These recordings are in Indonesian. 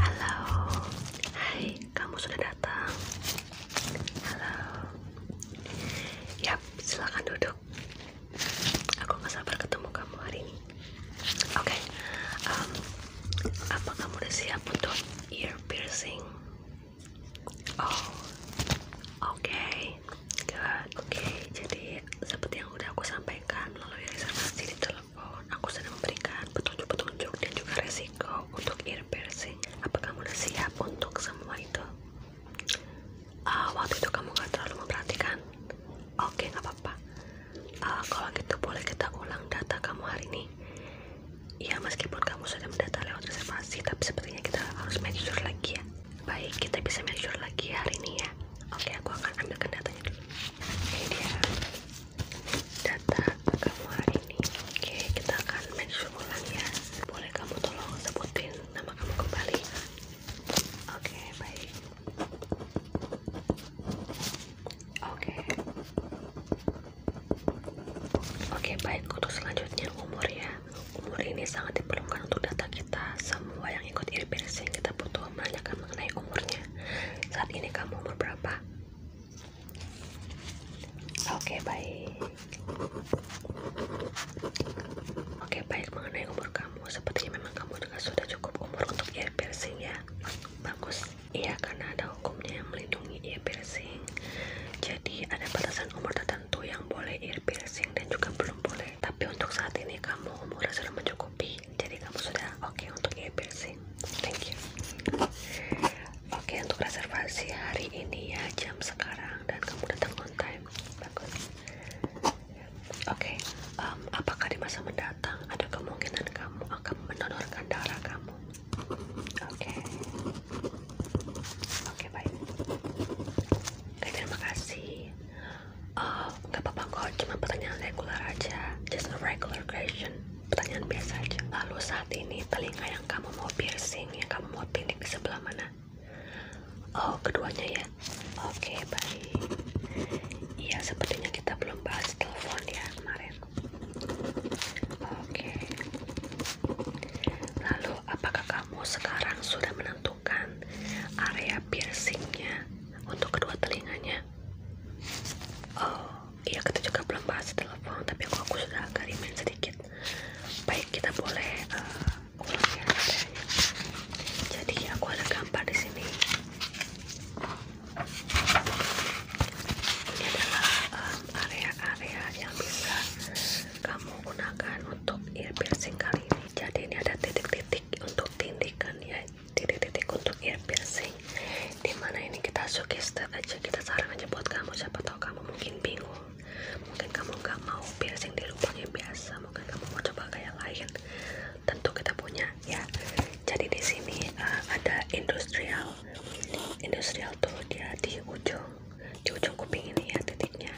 Halo, hai, kamu sudah datang. Halo, yap, silakan duduk. Aku nggak sabar ketemu kamu hari ini. Oke, um, apa kamu udah siap untuk ear piercing? Oh, oke. Oke, jadi seperti yang udah aku sampaikan melalui resonansi di telepon, aku sedang memberikan petunjuk-petunjuk dan juga resiko untuk ear piercing. Apa kamu udah siap untuk semua itu? Ah, waktu itu kamu gak terlalu memperhatikan. Oke, okay, nggak apa-apa. Ah, kalau gitu boleh kita ulang data kamu hari ini. Iya, meskipun kamu sudah mendata lewat reservasi, tapi sepertinya kita harus make lagi ya baik kita bisa make lagi hari ini ya oke aku akan ambil datanya dulu ini dia data kamu hari ini oke kita akan make sure ulang ya boleh kamu tolong sebutin nama kamu kembali oke baik oke oke baik untuk selanjutnya umur ya umur ini sangat diperlukan untuk data kita kita semua yang ikut ear piercing kita butuh menanyakan mengenai umurnya saat ini kamu umur berapa oke baik oke baik mengenai umur kamu sepertinya memang kamu sudah cukup umur untuk ear piercing ya bagus iya karena ada hukumnya yang melindungi ear piercing jadi ada batasan umur tertentu yang boleh ear piercing dan juga belum boleh tapi untuk saat ini kamu umurnya sudah mencukupi jadi kamu sudah oke okay untuk EBC thank you oke untuk reservasi hari ini ya jam sekarang dan kamu datang on time bagus oke apakah di masa mendatang ada kemungkinan kamu akan menonorkan darah kamu oke oke baik terima kasih Um, nggak uh, apa-apa kok cuma pertanyaan regular aja just a regular question pertanyaan biasa aja lalu saat ini telinga yang kamu mau piercing yang kamu mau pilih sebelah mana oh keduanya ya oke okay, baik iya sepertinya kita belum bahas telepon ya kemarin oke lalu apakah kamu sekarang sudah menentukan area piercingnya untuk kedua telinganya? Oh, iya kita juga belum bahas telepon, tapi aku, sudah sedikit. Baik, kita boleh eh, ya, Jadi aku ada gambar di sini. Ini adalah eh, area-area yang bisa kamu gunakan untuk ear piercing kali ini jadi ini ada titik-titik untuk tindikan ya titik-titik untuk ear piercing dimana ini kita sugesti saja kita saran aja buat kamu siapa tau kamu mungkin bingung mungkin kamu gak mau piercing di lubang yang biasa mungkin kamu mau coba gaya lain tentu kita punya ya jadi di sini eh, ada industrial industrial tuh dia di ujung di ujung kuping ini ya titiknya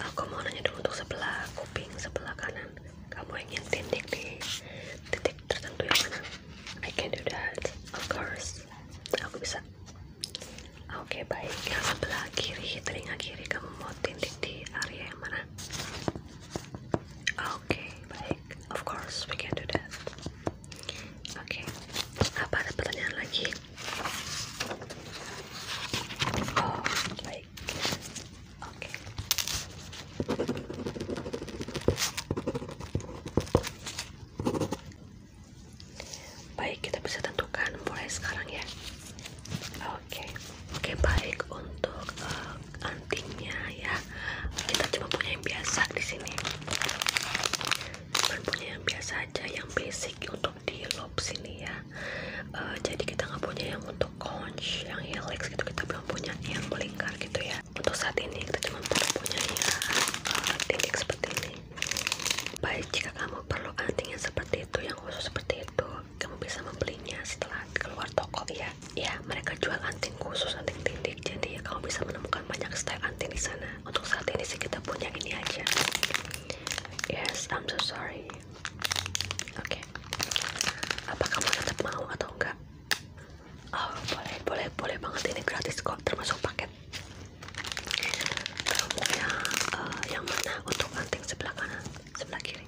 aku mau nanya dulu untuk sebelah kuping sebelah kanan kamu ingin titik di titik tertentu yang mana I can do that of course aku bisa oke baik yang sebelah kiri telinga kiri kamu mau titik di area yang mana oke baik of course we can do that oke apa ada pertanyaan lagi Oh, like Baik, kita bisa tentukan mulai sekarang ya. Oke, okay. oke baik untuk eh, antingnya ya. Kita cuma punya yang biasa di sini. Cuma punya yang biasa aja, yang basic untuk untuk di loop sini ya uh, jadi kita nggak punya yang untuk conch yang helix gitu kita belum punya yang melingkar gitu ya untuk saat ini kita cuma punya ya uh, seperti ini baik jika kamu perlu anting yang seperti itu yang khusus seperti itu kamu bisa membelinya setelah keluar toko ya ya mereka jual anting khusus anting tindik jadi ya kamu bisa menemukan banyak style anting di sana untuk saat ini sih kita punya ini aja Yes, I'm so sorry. Oke. Apa kamu tetap mau atau enggak? Oh, boleh, boleh, boleh banget ini gratis kok, termasuk paket. Kamu yang eh, mana untuk anting sebelah kanan, sebelah kiri?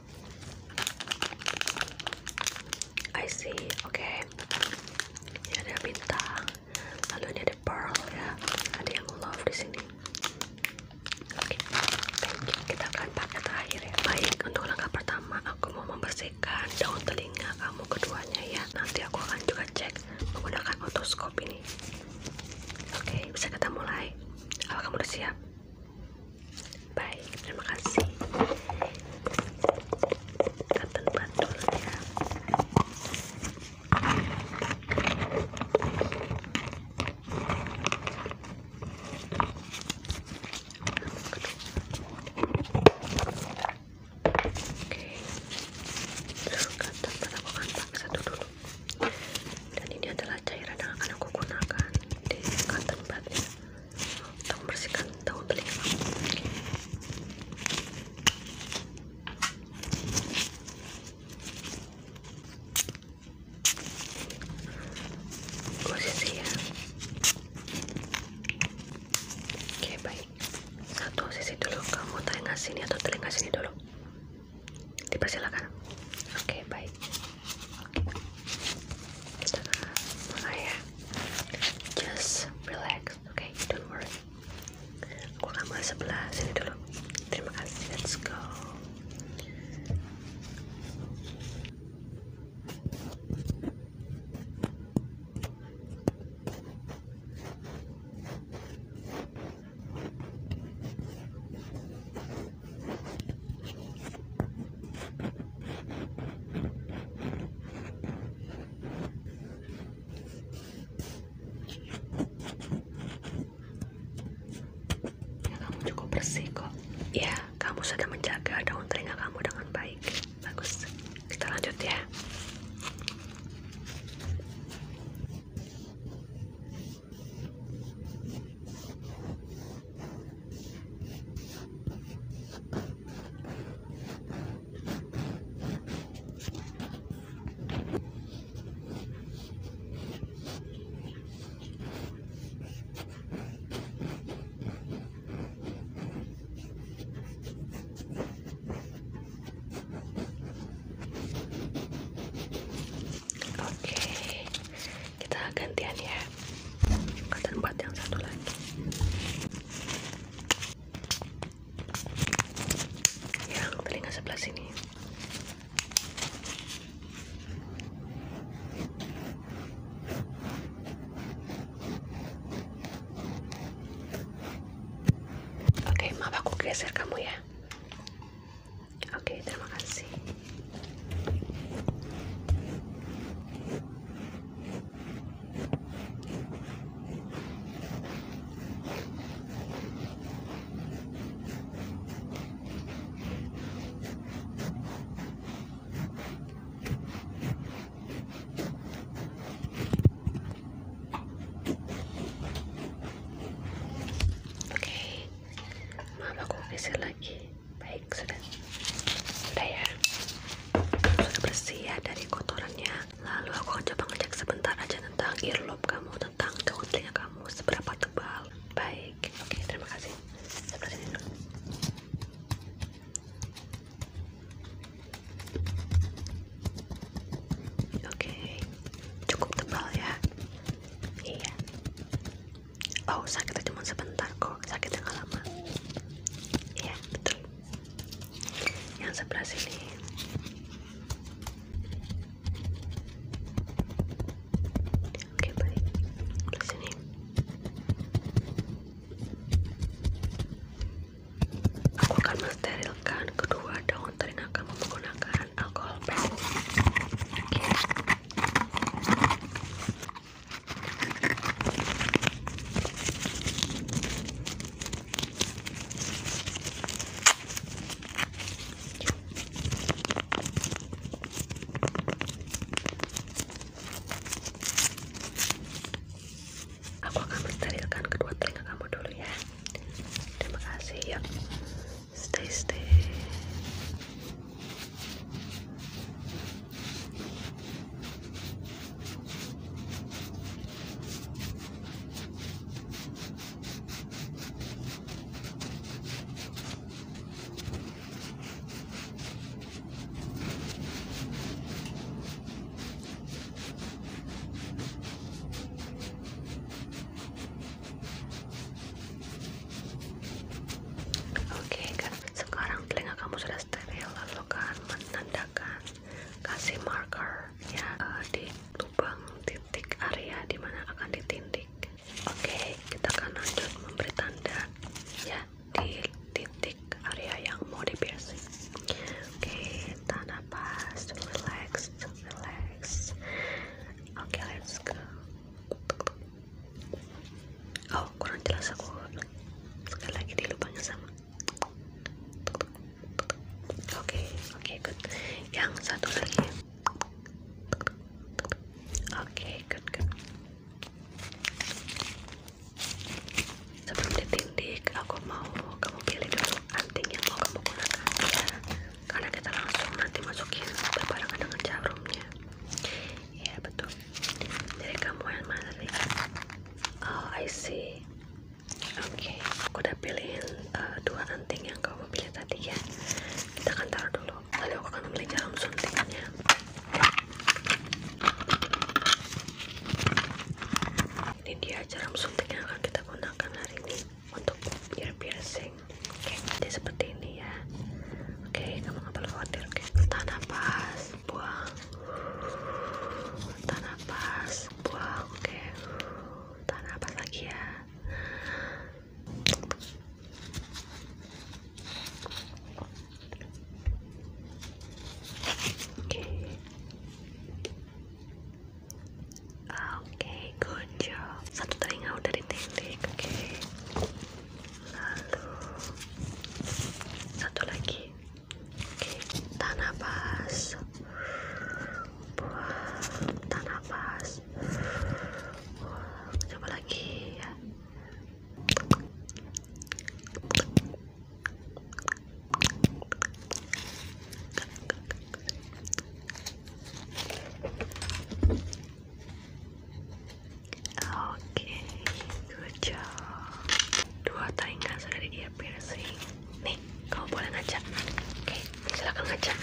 I see, oke. Okay. ada bintang, lalu ini ada pearl ya, ada yang love di sini. Oke, kita akan pakai terakhir ya. Baik, untuk langkah pertama aku mau membersihkan daun telinga kamu keduanya ya. Nanti aku akan juga cek menggunakan otoskop ini. Oke, bisa kita mulai. Apa kamu udah siap? Baik, terima kasih. Katen bantul satu dulu dan ini adalah cairan yang akan aku gunakan di cotton budnya untuk membersihkan daun telinga posisi ya oke baik satu sisi dulu kamu telinga sini atau telinga sini dulu dipersilakan oke baik oke. kita mulai ya just relax oke don't worry aku ngambil sebelah sini dulu terima kasih let's go ya kamu cukup bersih kok ya kamu sudah menjaga daun telinga kamu dengan baik bagus kita lanjut ya Oke, kita gantian ya. Kalian yang satu lagi yang telinga sebelah sini oke maaf aku geser kamu ya oke terima kasih Oke, mama aku geser lagi. Baik, sudah, sudah ya, sudah bersih ya dari kotorannya. Lalu aku coba ngecek sebentar aja tentang earlobe kamu, tentang cowok kamu, seberapa tebal. Baik, oke terima kasih. Sebelah dulu. Ya, oke, cukup tebal ya. Iya. Oh sakitnya cuma sebentar kok, sakitnya nggak lama. Iya betul yang sebelah sini oke baik sebelah sini aku akan mensterilkan kedua daun telinga kamu menggunakan alkohol pen oke aku akan mensterilkan kedua telinga kamu dulu ya terima kasih ya stay stay Oke, okay, kan sekarang telinga kamu sudah steril, lalu kan menandakan kasih marker ya eh, di lubang titik area dimana akan ditindik oke kita akan lanjut memberi tanda ya di titik area yang mau di piercing oke tanah pas relax relax oke okay, let's go oh kurang jelas aku sekali lagi di lubangnya sama Oke, oke, good. Yang satu lagi. Oke, good, good. Sebelum ditindik, aku mau kamu pilih dulu anting yang mau kamu gunakan ya. Karena kita langsung nanti masukin barang dengan jarumnya. Iya betul. Jadi kamu yang mana nih? Oh, I see oke aku udah pilihin eh, dua anting yang kamu pilih tadi ya kita akan taruh dulu lalu aku akan membeli jarum suntiknya ini dia jarum suntik yang akan kita gunakan hari ini untuk ear piercing oke jadi seperti ini ya oke kamu gak perlu khawatir oke okay. nafas buang tanah pas buang oke tanah pas lagi ya Oke, oke good job. Satu telinga udah dititik, oke. Lalu satu lagi tanah nafas buang tahan nafas coba lagi ya oke dua dua tayangan sudah dia piercing nih kamu boleh ngajak oke silakan ngajak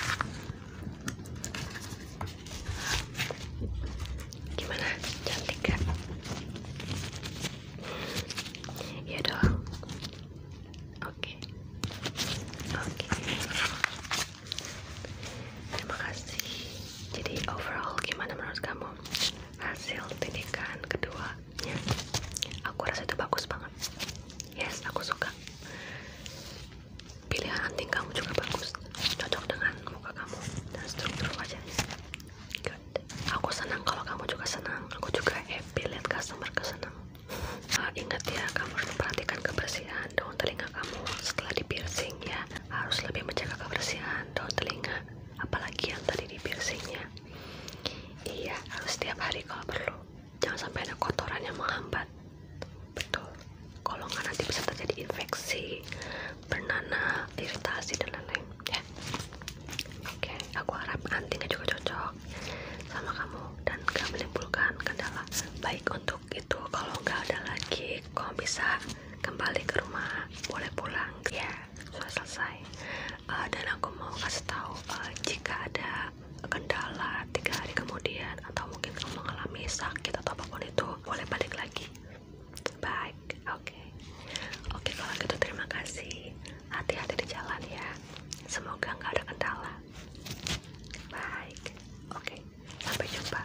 gimana cantik gak ya dong oke oke terima kasih jadi overall gimana menurut kamu hasil tindakan kedua aku rasa itu bagus banget yes aku suka pilihan anting kamu juga bagus cocok dengan muka kamu dan struktur wajahnya good aku senang kalau kamu juga senang aku juga happy lihat customer kesenang uh, ah, ingat ya kamu harus memperhatikan kebersihan daun telinga kamu setelah di piercing ya harus lebih menjaga kebersihan daun telinga apalagi yang tadi di piercingnya Iya, harus setiap hari kalau perlu. Jangan sampai ada kotoran yang menghambat. Betul. Kalau nggak nanti bisa terjadi infeksi, bernanah, iritasi dan lain-lain. Ya. Oke, aku harap antingnya juga cocok sama kamu dan gak menimbulkan kendala. Baik untuk itu. Kalau nggak ada lagi, kamu bisa kembali ke rumah, boleh pulang. Ya sudah selesai eh, dan aku mau kasih tahu eh, jika ada kendala tiga hari kemudian atau mungkin kamu mengalami sakit atau apapun itu boleh balik lagi baik oke oke kalau gitu terima kasih hati-hati di jalan ya semoga nggak ada kendala baik oke sampai jumpa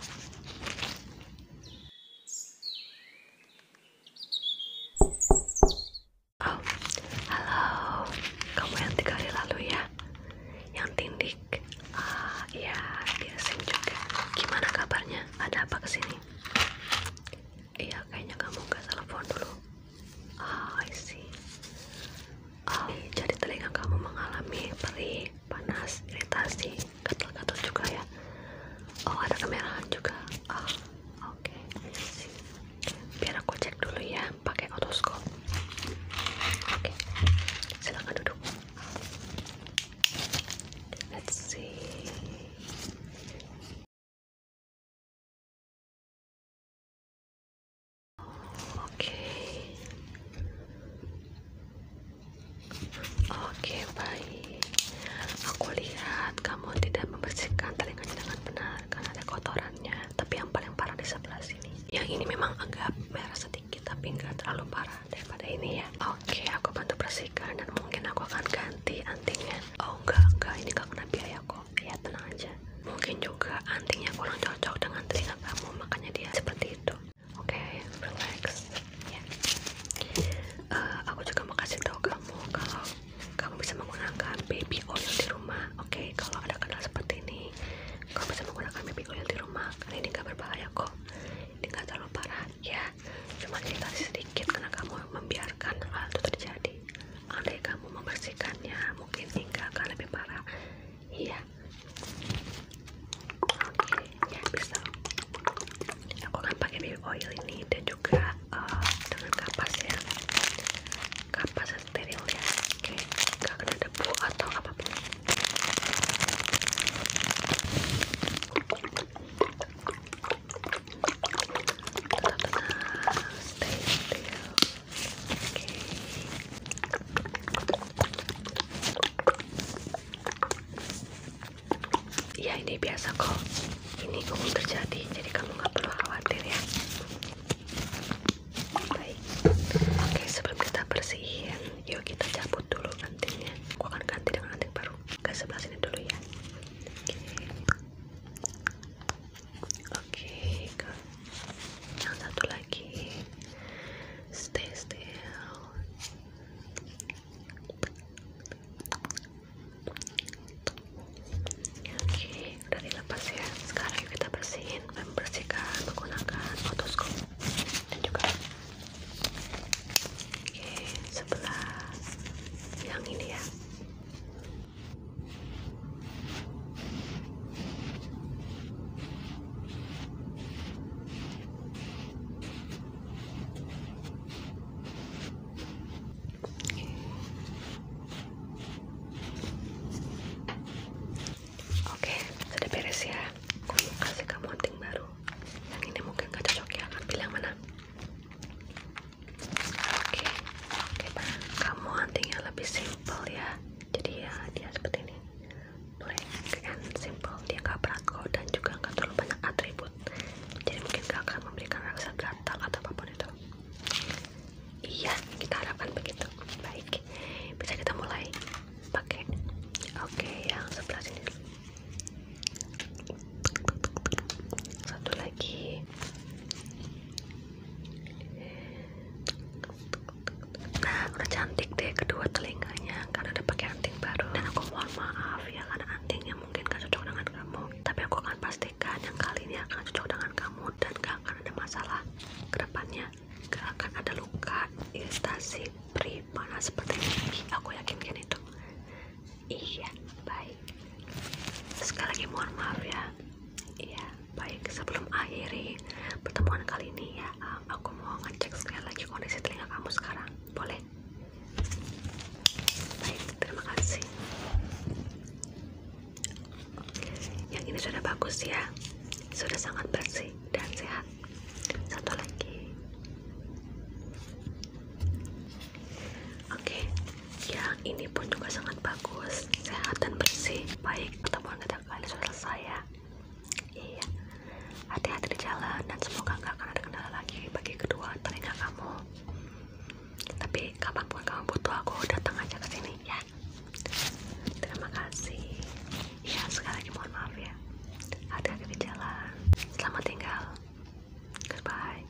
Oh, halo. Kamu yang tiga hari lalu ya? Yang tindik? Ah, iya, dia sing juga. Gimana kabarnya? Ada apa kesini? Iya, kayaknya kamu nggak telepon dulu. oh, I see. Oh, jadi telinga kamu mengalami perih, panas, iritasi gatal-gatal juga ya oh ada kemerahan juga oh, oke biar aku cek dulu ya pakai otoskop oke okay. silahkan duduk let's see Oke, Oke, baik. Aku lihat kamu tidak membersihkan telinganya dengan benar karena ada kotorannya. Tapi yang paling parah di sebelah sini. Yang ini memang agak merah sedikit, tapi nggak terlalu parah daripada ini ya. Oke, aku bantu bersihkan dan mungkin aku akan ganti antingnya. Oh enggak, enggak. Ini nggak kena biaya kok. Ya tenang aja. Mungkin juga antingnya kurang cocok dengan telinga kamu, makanya dia seperti itu. Oke, relax. Iya. Eh, aku juga mau kasih tau kamu kalau kamu bisa menggunakan baby oil di rumah oke kalau ada kendala seperti ini kamu bisa menggunakan baby oil di rumah karena ini gak berbahaya kok ini gak terlalu parah ya cuma cerita sedikit karena kamu membiarkan hal itu terjadi andai kamu membersihkannya mungkin hingga akan lebih parah iya bisa aku kan pakai baby oil ini dan juga eh, dengan kapas ya kapas steril ya oke kena debu atau apapun ya ini biasa kok. Ini umum terjadi, jadi kamu nggak perlu khawatir ya. Oke sebelum kita bersihin, yuk kita cabut dulu antingnya. Aku akan ganti dengan anting baru. Ke sebelah sini dulu ya. Oke. Oke. Yang satu lagi. Stay still oke udah dilepas ya sekarang kita bersihin membersihkan menggunakan otoskop dan juga oke sebelah yang ini ya Oke, sudah beres ya. Aku kasih kamu anting baru. Yang ini mungkin gak cocok ya. Akan pilih mana? Oke, oke pak. Kamu antingnya lebih simple ya. Jadi ya dia seperti ini blank and simple dia gak berat kok dan juga gak terlalu banyak atribut jadi mungkin gak akan memberikan rasa gatal atau apapun itu iya kita harapkan begitu baik bisa kita mulai pakai oke yang sebelah sini satu lagi nah udah cantik deh kedua telinganya karena ada pakaian dan aku mohon maaf ya karena antingnya mungkin gak cocok dengan kamu tapi aku akan pastikan yang kali ini akan cocok dengan kamu dan gak akan ada masalah kedepannya gak akan ada luka iritasi pribadi panas seperti ini aku yakinkan itu iya baik sekali lagi mohon maaf ya iya baik sebelum akhiri pertemuan kali ini ya aku mau ngecek sekali lagi kondisi telinga kamu sekarang boleh baik terima kasih yang ini sudah bagus ya sudah sangat bersih dan sehat satu lagi oke yang ini pun juga sangat bagus sehat dan bersih baik atau mau kita kali selesai saya iya hati-hati di jalan dan semoga nggak akan ada kendala lagi bagi kedua telinga kamu tapi kapanpun kamu butuh aku datang aja ke sini ya terima kasih ya sekali lagi mohon maaf ya hati-hati di jalan selamat tinggal goodbye